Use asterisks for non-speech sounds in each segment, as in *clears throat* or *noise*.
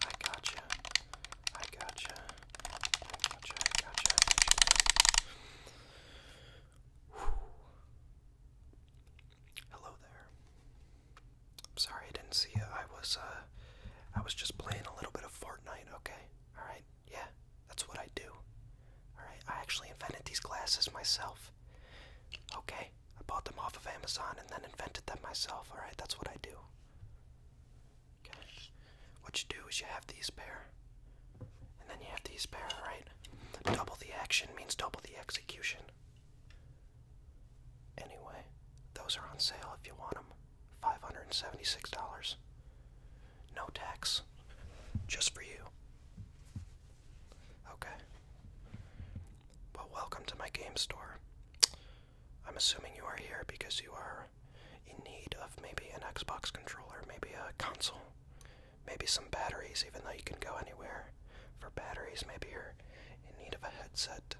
I gotcha. I gotcha. I gotcha. I gotcha. I gotcha. Hello there. I'm sorry I didn't see you. I was uh I was just playing a little bit of Fortnite, okay? Alright, yeah, that's what I do. Alright, I actually invented these glasses myself. Okay, I bought them off of Amazon and then invented them myself. Alright, that's what I do. What you do is you have these pair, and then you have these pair, right? Double the action means double the execution. Anyway, those are on sale if you want them. $576. No tax. Just for you. Okay. Well, welcome to my game store. I'm assuming you are here because you are in need of maybe an Xbox controller, maybe a console, maybe some batteries, even though you can go anywhere for batteries. Maybe you're in need of a headset,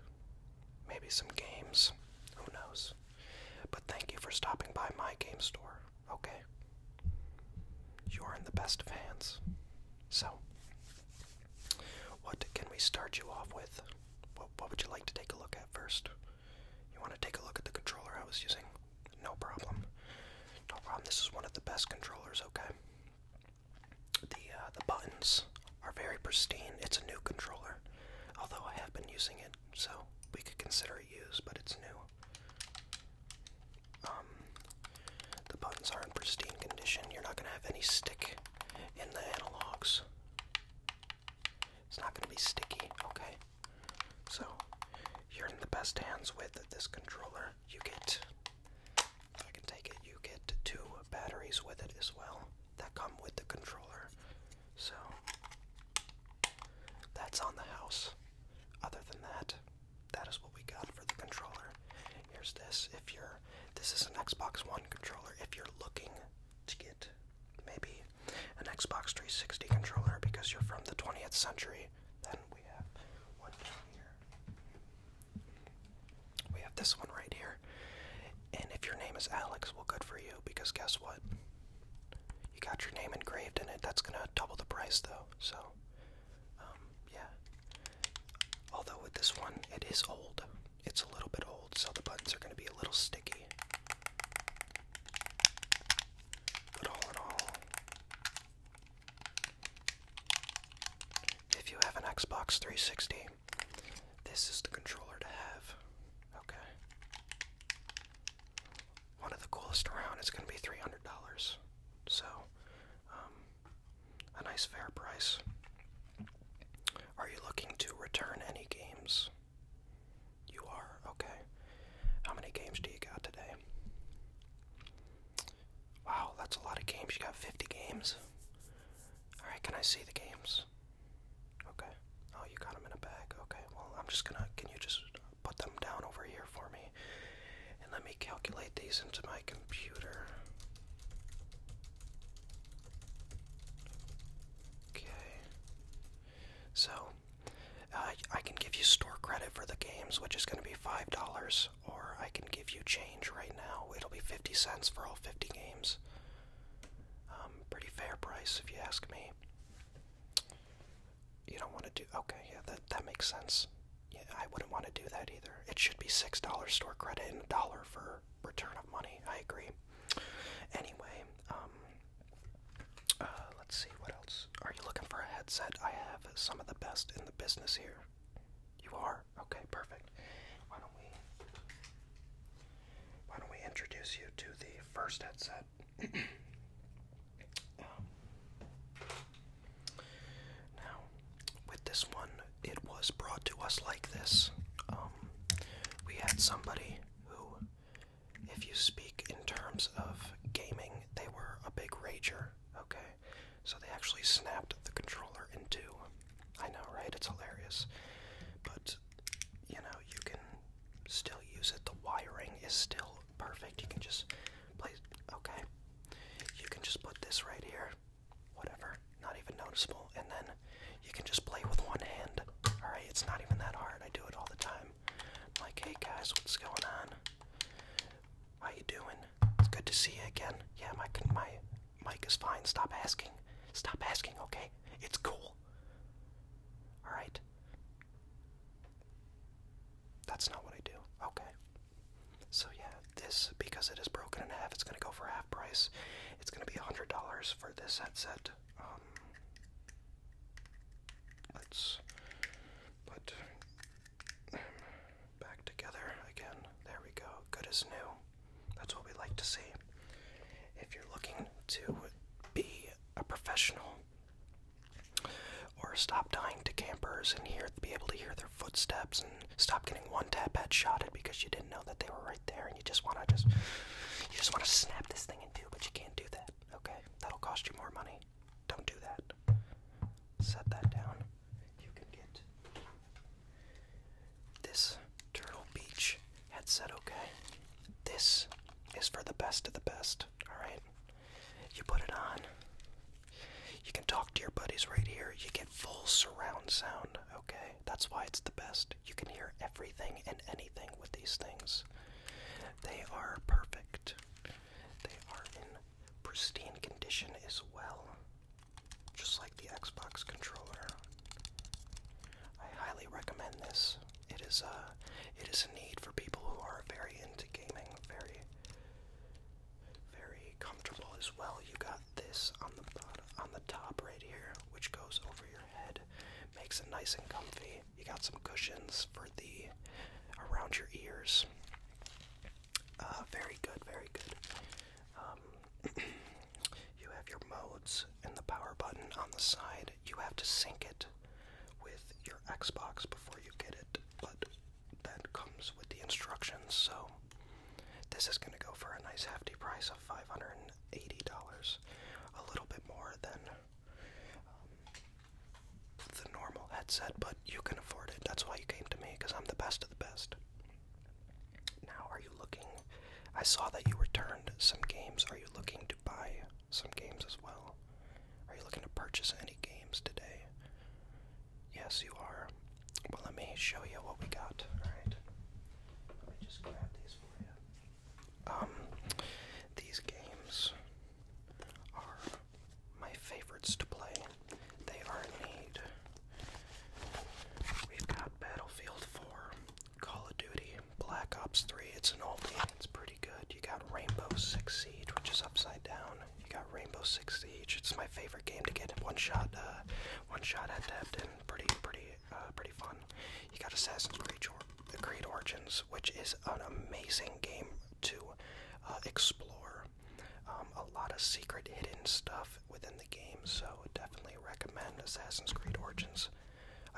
maybe some games. Who knows? But thank you for stopping by my game store, okay? You're in the best of hands. So, what can we start you off with? What, what would you like to take a look at first? You want to take a look at the controller I was using? No problem. No problem. This is one of the best controllers. Okay. The uh, the buttons are very pristine. It's a new controller, although I have been using it, so we could consider it used, but it's new. Um, the buttons are in pristine condition. You're not going to have any stick in the analogs. It's not going to be sticky, okay? So, you're in the best hands with this controller. You get, if I can take it, you get two batteries with it as well that come with the controller. So, that's on the house. Other than that, that is what we got for the controller. Here's this. If you're this is an Xbox One controller. If you're looking to get maybe an Xbox 360 controller because you're from the 20th century, then we have one here. We have this one right here. And if your name is Alex, well, good for you because guess what? You got your name engraved in it. That's gonna double the price though. So, um, yeah. Although with this one, it is old. It's a little bit old, so the buttons are going to be a little sticky. But all in all, if you have an Xbox 360, this is the controller to have. Okay. One of the coolest around is going to be $300. So, um, a nice fair price. Are you looking to return any games? You are? Okay. How many games do you got today? Wow, that's a lot of games. You got 50 games? Alright, can I see the games? Okay. Oh, you got them in a bag. Okay, well, I'm just gonna. Can you just put them down over here? for me. And let me calculate these into my computer. Okay. So, uh, I can give you store credit for the games, which is going to be $5, or I can give you change right now. It'll be 50 cents for all 50 games. Um, pretty fair price, if you ask me. You don't want to do. Okay, yeah, that, that makes sense yeah, I wouldn't want to do that either. It should be six dollars store credit and a dollar for return of money. I agree. Anyway, um, uh, let's see what else. Are you looking for a headset? I have some of the best in the business here. You are okay. Perfect. Why don't we? Why don't we introduce you to the first headset? *clears throat* um, now, with this one, it was brought to us like this. Um, we had somebody who, if you speak in terms of gaming, they were a big rager, okay? So they actually snapped the controller in two. I know, right? It's hilarious. But, you know, you can still use it. The wiring is still perfect. You can just place, okay. You can just put this right here, whatever, not even noticeable. And then you can just play with one hand, alright? It's not even that hard. I do it all the time. like, hey guys, what's going on? How you doing? It's good to see you again. Yeah, my, my mic is fine. Stop asking. Stop asking, okay? It's cool. Alright? That's not what I do. Okay. So yeah, this because it is broken in half, it's gonna go for half price. It's gonna be hundred dollars for this headset. Um, let's put back together again. There we go. Good as new. That's what we like to see. If you're looking to be a professional or stop dying to campers and hear be able to hear their footsteps and stop getting one tap headshotted because you didn't know that they were right there and you just wanna just you just wanna snap this thing in two, but you can't do that. Okay? That'll cost you more money. Don't do that. Set that down. You can get this Turtle Beach headset, okay? This is for the best of the best, alright? You put it on. You can talk to your buddies right here. You get full surround sound, okay? That's why it's the best. You can hear everything and anything with these things. They are perfect. They are in pristine condition as well. Just like the Xbox controller. I highly recommend this. It is a uh, it is a need for people who are very into gaming, very very comfortable as well. You got this on the on the top right here, which goes over your head, makes it nice and comfy. You got some cushions for the around your ears. Uh, very good, very good. Um, *clears throat* you have your modes and the power button on the side. You have to sync it with your Xbox before you get it, but that comes with the instructions. So this is going to go for a nice hefty price of $580, a little bit more than um, the normal headset, but you can afford it. That's why you came to me, because I'm the best of the best. Now, are you looking? I saw that you returned some games. Are you looking to buy some games as well? Are you looking to purchase any games today? Yes, you are. Well, let me show you what we got. Alright. Let me just grab these for you. Um, these games are my favorites to play. They are in need. We've got Battlefield 4, Call of Duty, Black Ops 3. It's an oldie. It's pretty good. You got Rainbow Six Siege, which is upside down. You got Rainbow Six Siege. It's my favorite game to get one shot, uh, one shot at depth, and pretty, pretty, uh, pretty fun. You got Assassin's Creed, Origins, which is an amazing game to uh, explore. Um, a lot of secret hidden stuff within the game, so definitely recommend Assassin's Creed Origins.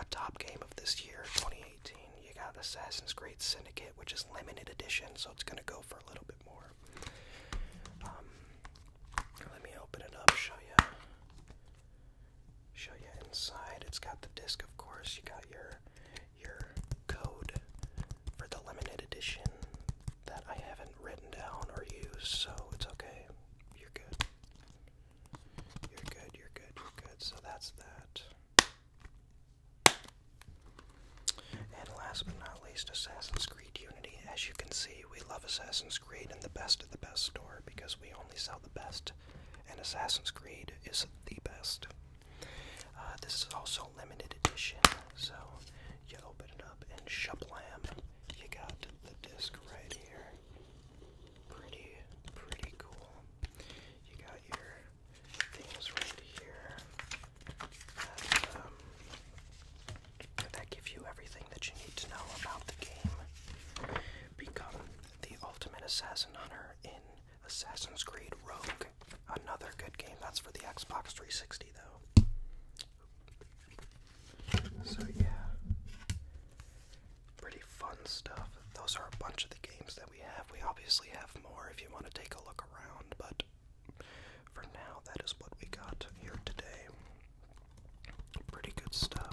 A top game of this year, 2018. You got Assassin's Creed Syndicate, which is limited edition, so it's gonna go for a little bit. Um, let me open it up, show you, show you inside. It's got the disc, of course. You got your your code for the limited edition that I haven't written down or used, so it's okay. You're good. You're good. You're good. You're good. So that's that. And last but not least, Assassin's Creed Unity. As you can see, we love Assassin's Creed in the best of the best store because we only sell the best, and Assassin's Creed is the best. Uh, this is also a limited edition, so you open it up and shablam, you got the disc right here. Pretty, pretty cool. You got your things right here that, um, that give you everything that you need to know about the game. Become the ultimate assassin hunter in Assassin's Creed Rogue. Another good game. That's for the Xbox 360, though. So, yeah. Pretty fun stuff. Those are a bunch of the games that we have. We obviously have more if you want to take a look around, but for now, that is what we got here today. Pretty good stuff.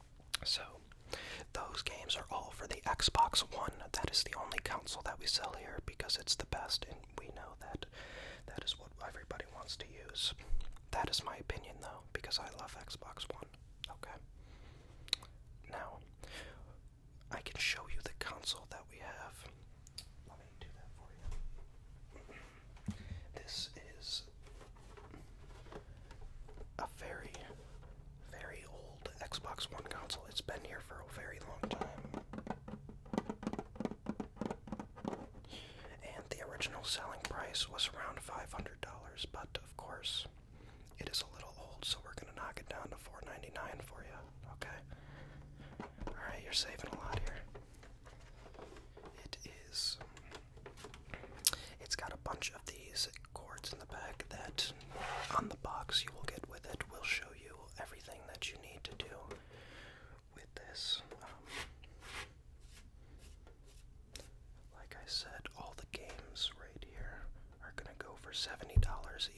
So, those games are all for the Xbox One. That is the only console that we sell here because it's the best, and we know that that is what everybody wants to use. That is my opinion, though, because I love Xbox One. Okay? Now, I can show you the console that we have. Let me do that for you. This is a very, very old Xbox One console. It's been here for a very long time. And the original selling price was around $500, but of course, it is a little old, so we're going to knock it down to four ninety nine dollars for you. Okay? Alright, you're saving a lot here. It is. It's got a bunch of these cords in the back that on the box you will get with it will show you everything that you need to do with this. Um, like I said, all the games right here are going to go for $70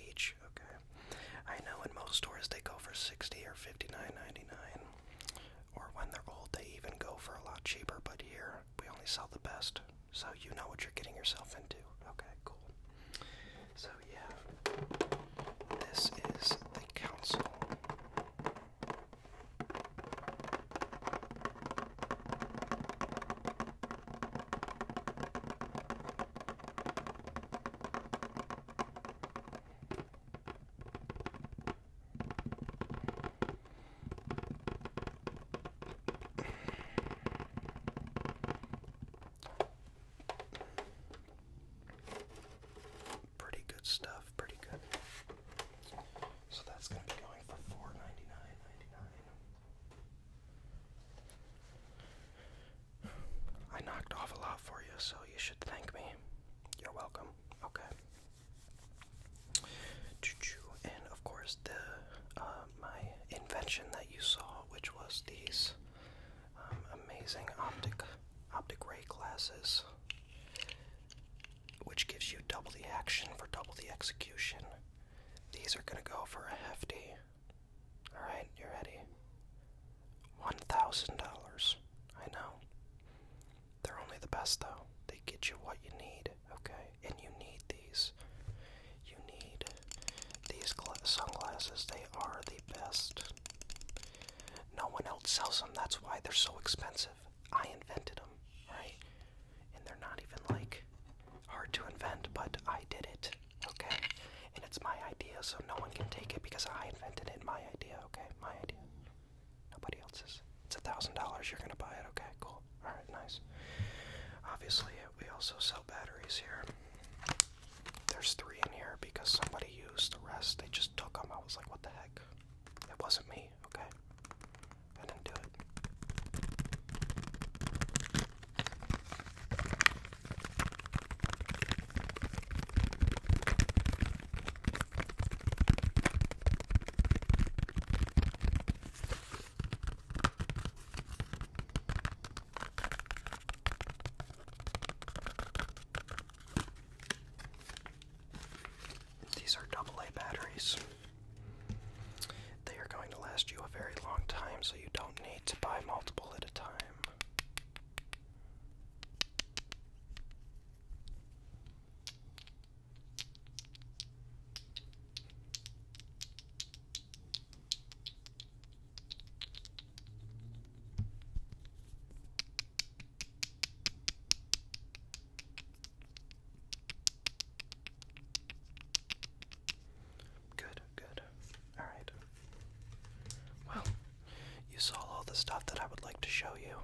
each, okay? I know in most stores they go for 60 or 59.99 or when they're old they even go for a lot cheaper, but here we only sell the best, so you know what you're getting yourself into. Okay, cool. So, yeah, this is the council. Pretty good stuff, pretty good. So that's going to be going for four ninety nine ninety nine. I knocked off a lot for you, so you should thank me. You're welcome. Okay. And of course, the uh, my invention that you saw, which was these um, amazing optic optic ray glasses, which gives you double the action for double the execution. These are gonna go for a hefty. All right, you ready? One thousand dollars. I know. They're only the best, though. They get you what you need, okay? And you need these. You need these sunglasses. They are the best. No one else sells them. That's why they're so expensive. I invented them, right? And they're not even like hard to invent, but I did it, okay? And it's my idea, so no one can take it because I invented it. My idea, okay? My idea. Nobody else's. It's a thousand dollars. You're gonna buy it. Okay, cool. All right, nice. Obviously, uh, we also sell batteries here. There's three in here because somebody used the rest. They just took them. I was like, what the heck? It wasn't me. Okay, I did do it. These are AA batteries. They are going to last you a very long time, so you don't need to buy multiple at a time. Good, good. Alright. Well, you saw all the stuff that I would like to show you.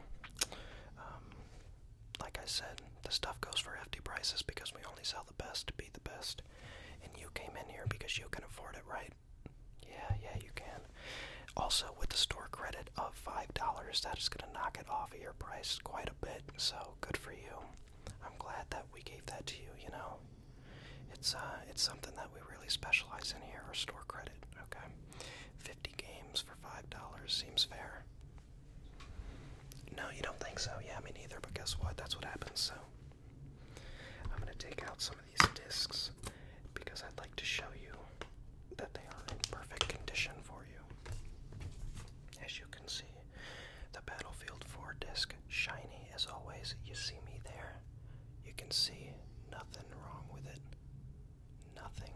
Um, like I said, the stuff goes for hefty prices because we only sell the best to be the best. And you came in here because you can afford it, right? Yeah, yeah, you can. Also, with the store credit of $5, that is going to knock it off of your price quite a bit. So, good for you. I'm glad that we gave that to you, you know. It's uh it's something that we really specialize in here, our store credit, okay? 50 games for $5 seems fair. No, you don't think so? Yeah, me neither, but guess what? That's what happens, so. I'm gonna take out some of these discs because I'd like to show you that they are in perfect condition for you. As you can see, the Battlefield 4 disc, shiny as always. You see me there. You can see nothing wrong with it. Nothing.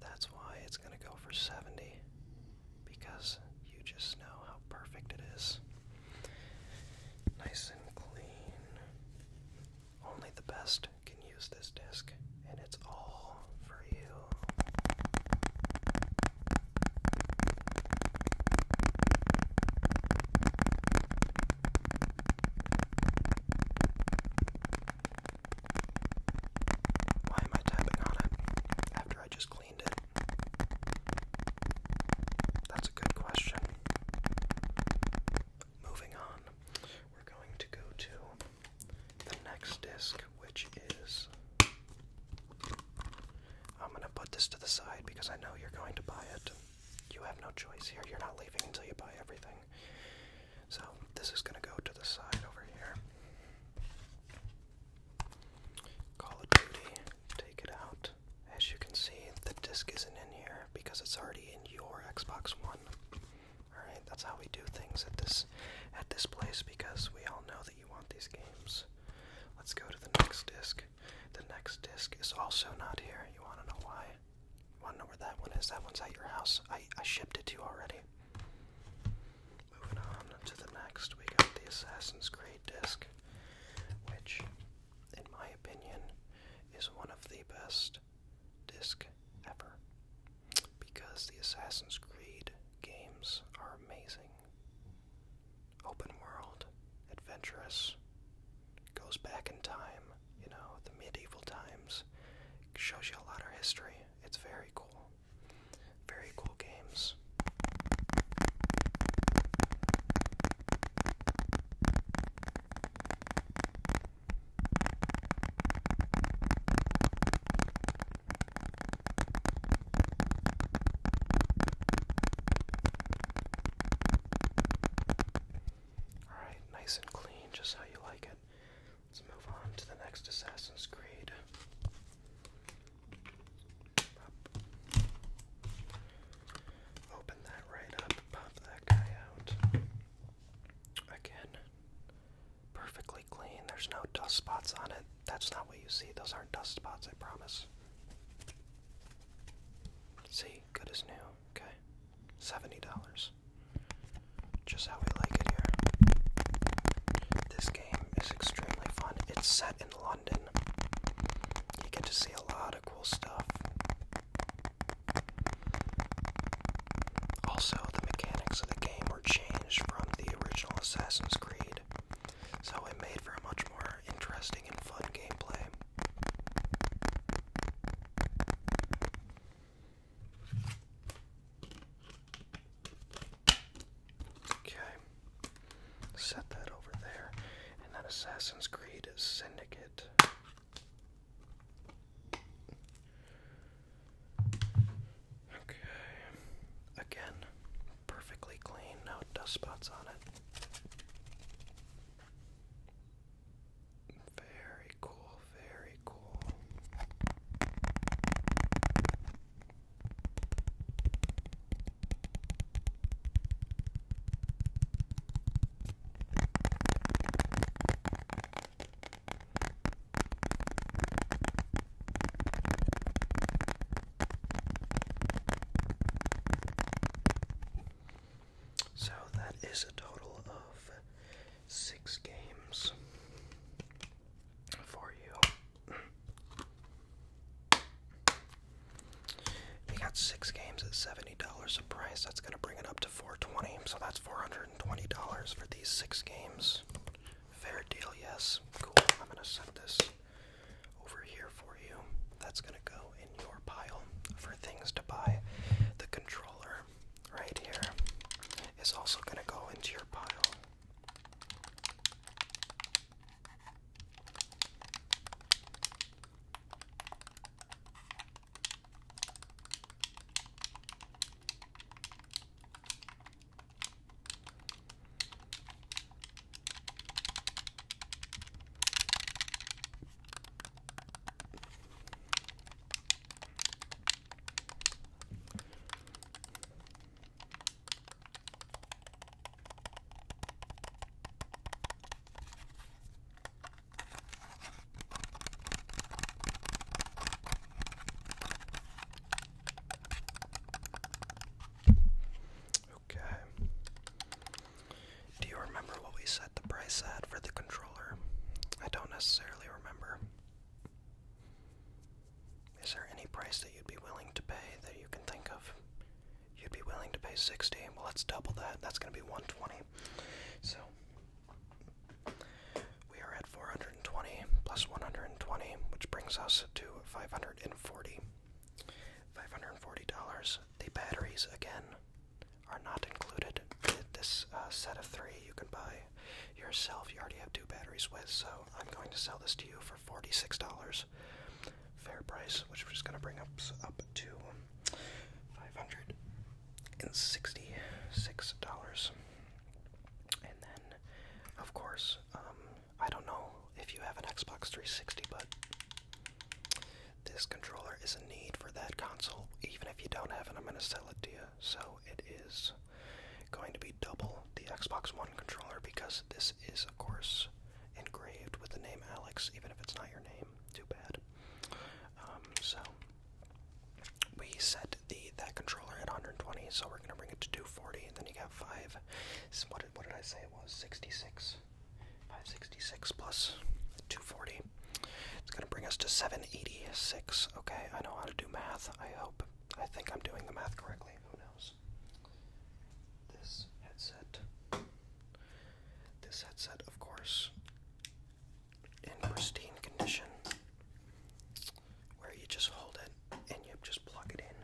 That's why it's going to go for 70 because you just know how perfect it is. Nice and clean. Only the best can use this disc, and it's all for you. Why am I tapping on it after I just cleaned it? That's a good question. Moving on, we're going to go to the next disc, which is. I'm going to put this to the side because I know you're going to buy it. You have no choice here. You're not leaving until you buy everything. So this is going to go to the side over here. Call of Duty, take it out. As you can see, the disc isn't in here because it's already in your Xbox One. All right, that's how we do things at this at this place because we all know that you want these games. Let's go to the next disc. The next disc is also not here. You want to know why? want know where that one is? That one's at your house. I I shipped it to you already. Moving on to the next, we got the Assassin's Creed disc, which, in my opinion, is one of the best disc ever. Because the Assassin's Creed games are amazing. Open world, adventurous, goes back in time, you know, the medieval times. shows you a lot of history. It's very cool. Very cool games. Alright, nice and clean, just how you like it. Let's move on to the next Assassin's Creed. Open that right up, pop that guy out. Again, perfectly clean. There's no dust spots on it. That's not what you see. Those aren't dust spots, I promise. See, good as new. Okay. $70. Just how we like it here. This game is extremely fun. It's set in London. You get to see a lot of cool stuff. Also, the mechanics of the game were changed from the original Assassin's Creed, so it made for a much more interesting and fun gameplay. Okay. Set that over there. And that Assassin's Creed Syndicate. Okay. Again, perfectly clean, no dust spots on it. Very very cool, very cool. So that is a total of six games for you. We got six games at seventy dollars a price. That's gonna bring it up to four twenty. So that's four hundred and twenty dollars for these six games. Fair deal, yes. Cool. I'm gonna set this over here for you. That's gonna go in your pile for things to buy. The controller right here is also going to go into your pile. Okay. Do you remember what we set the price at for the controller? I don't necessarily remember. Is there any price that you'd be willing to pay that you can think of? You'd be willing to pay 60. Well, let's double that. That's going to be 120. So we are at 420 plus 120, which brings us to 540. $540. The batteries again are not included in this uh, set of three you can buy yourself. You already have two batteries with, so I'm going to sell this to you for $46 fair price, which we're just going to bring up, up to $566. And then, of course, um, I don't know if you have an Xbox 360, but this controller is a need for that console. Even if you don't have it, I'm going to sell it to you so it is going to be double the Xbox One controller because this is, of course, engraved with the name Alex, even if it's not your name. Too bad. Um, so we set the that controller at 120, so we're gonna bring it to 240, and then you got five. What did, what did I say it was? 66. 566 plus 240. It's going to bring us to 786. Okay, I know how to do math, I hope. I think I'm doing the math correctly. Who knows? This headset. This headset, of course, in pristine condition, where you just hold it and you just plug it in.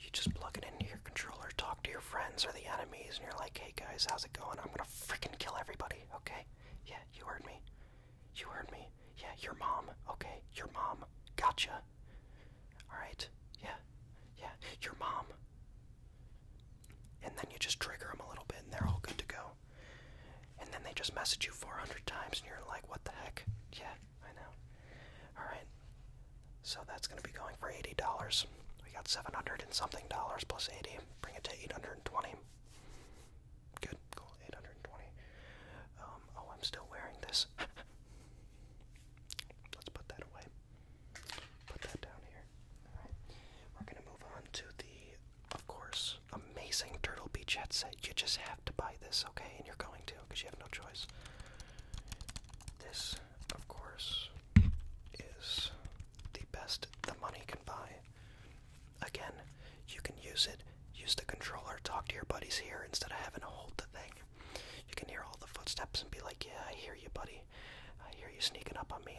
You just plug it into your controller, talk to your friends or the enemies, and you're like, hey guys, how's it going? I'm gonna freaking kill everybody, okay? Yeah, you heard me. You heard me. Yeah, your mom. Okay, your mom. Gotcha. Alright. Yeah. Yeah, your mom. And then you just trigger them a little bit and they're all good to go. And then they just message you 400 times and you're like, what the heck? Yeah, I know. Alright. So that's going to be going for $80. We got 700 and something dollars plus 80. Bring it to 820. Good, cool, 820. Um, oh, I'm still wearing this. *laughs* Let's put that away. Put that down here. Alright, we're gonna move on to the, of course, amazing Turtle Beach headset. You just have to buy this, okay? And you're going to, because you have no choice. This, of course, is the best the money can buy. Again, you can use it, use the controller, talk to your buddies here instead of having to hold the thing. You can hear all the footsteps and be like, yeah, I hear you, buddy. I hear you sneaking up on me.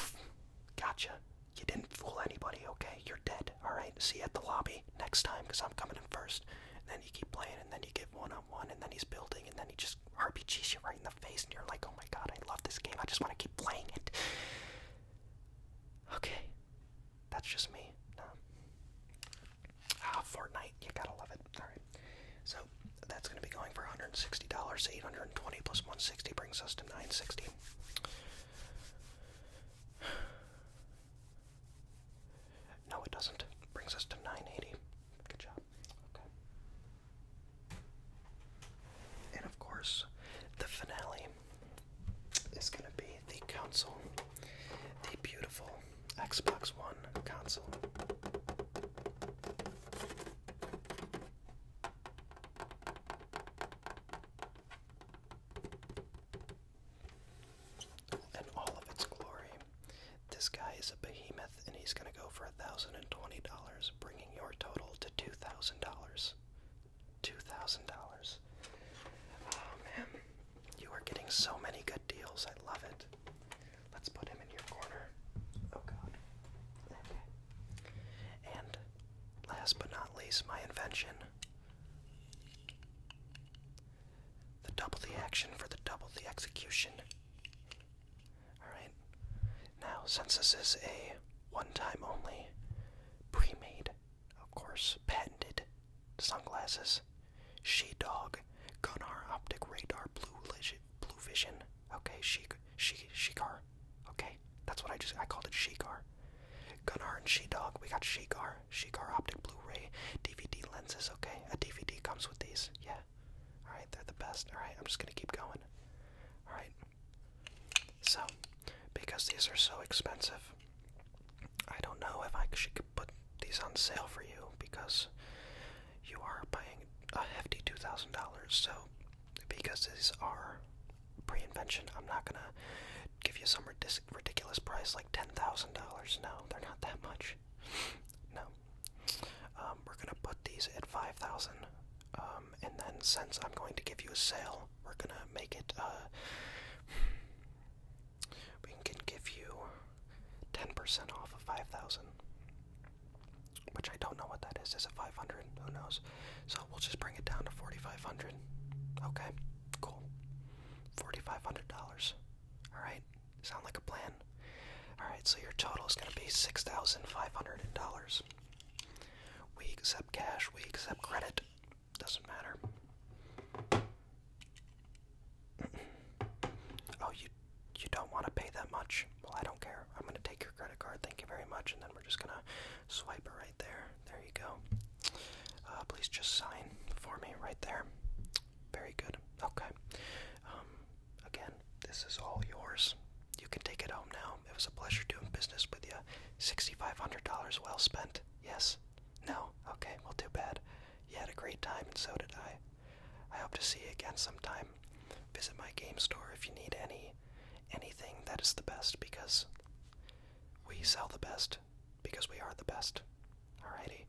*laughs* gotcha. You didn't fool anybody, okay? You're dead, alright? See you at the lobby next time, because I'm coming in first. And then you keep playing, and then you get one on one, and then he's building, and then he just RPGs you right in the face, and you're like, oh my god, I love this game. I just want to keep playing it. Okay. That's just me. Ah, Fortnite. You gotta love it. Alright. So that's gonna be going for $160. $820 plus 160 brings us to 960 *sighs* No, it doesn't. Brings us to 980. Good job. Okay. And of course, the finale is going to be the console, the beautiful Xbox One console. In all of its glory, this guy is a behemoth and he's going to go for $1,020, bringing your total to $2,000 two thousand dollars. Oh man, you are getting so many good deals. I love it. Let's put him in your corner. Oh god. Okay. And last but not least, my invention. The double the action for the double the execution. Alright. Now, since this is a one-time only, pre-made, of course, patented sunglasses, She Dog, Gunnar Optic Radar Blue Vision, Okay, She She Shegar. Okay, that's what I just I called it Shegar. Gunnar and She Dog. We got Shegar, Shegar Optic Blu-ray DVD lenses. Okay, a DVD comes with these. Yeah. All right, they're the best. All right, I'm just gonna keep going. All right. So, because these are so expensive, I don't know if I should put these on sale for you because you are buying a hefty $2,000. So, because these are pre-invention, I'm not gonna give you some ridiculous price like $10,000. No, they're not that much. No. Um, we're gonna put these at 5,000 um, and then since I'm going to give you a sale, we're gonna make it uh, we can give you 10% off of 5,000. Which I don't know what that is. Is it 500? Who knows? So we'll just bring it down to 4,500. Okay, cool. $4,500. Alright, sound like a plan? Alright, so your total is going to be $6,500. We accept cash, we accept credit. Doesn't matter. *clears throat* oh, you you don't want to pay that much? Well, I don't care. I'm going to take your credit card. Thank you very much. And then we're just going to swipe it right there. There you go. Uh, please just sign for me right there. Very good. Okay. Um, again, this is all yours. You can take it home now. It was a pleasure doing business with you. $6,500 well spent. Yes? No? Okay, well, too bad. You had a great time, and so did I. I hope to see you again sometime. Visit my game store if you need any anything that is the best because we sell the best because we are the best. Alrighty.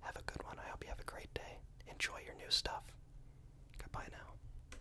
Have a good one. I hope you have a great day. Enjoy your new stuff. Goodbye now.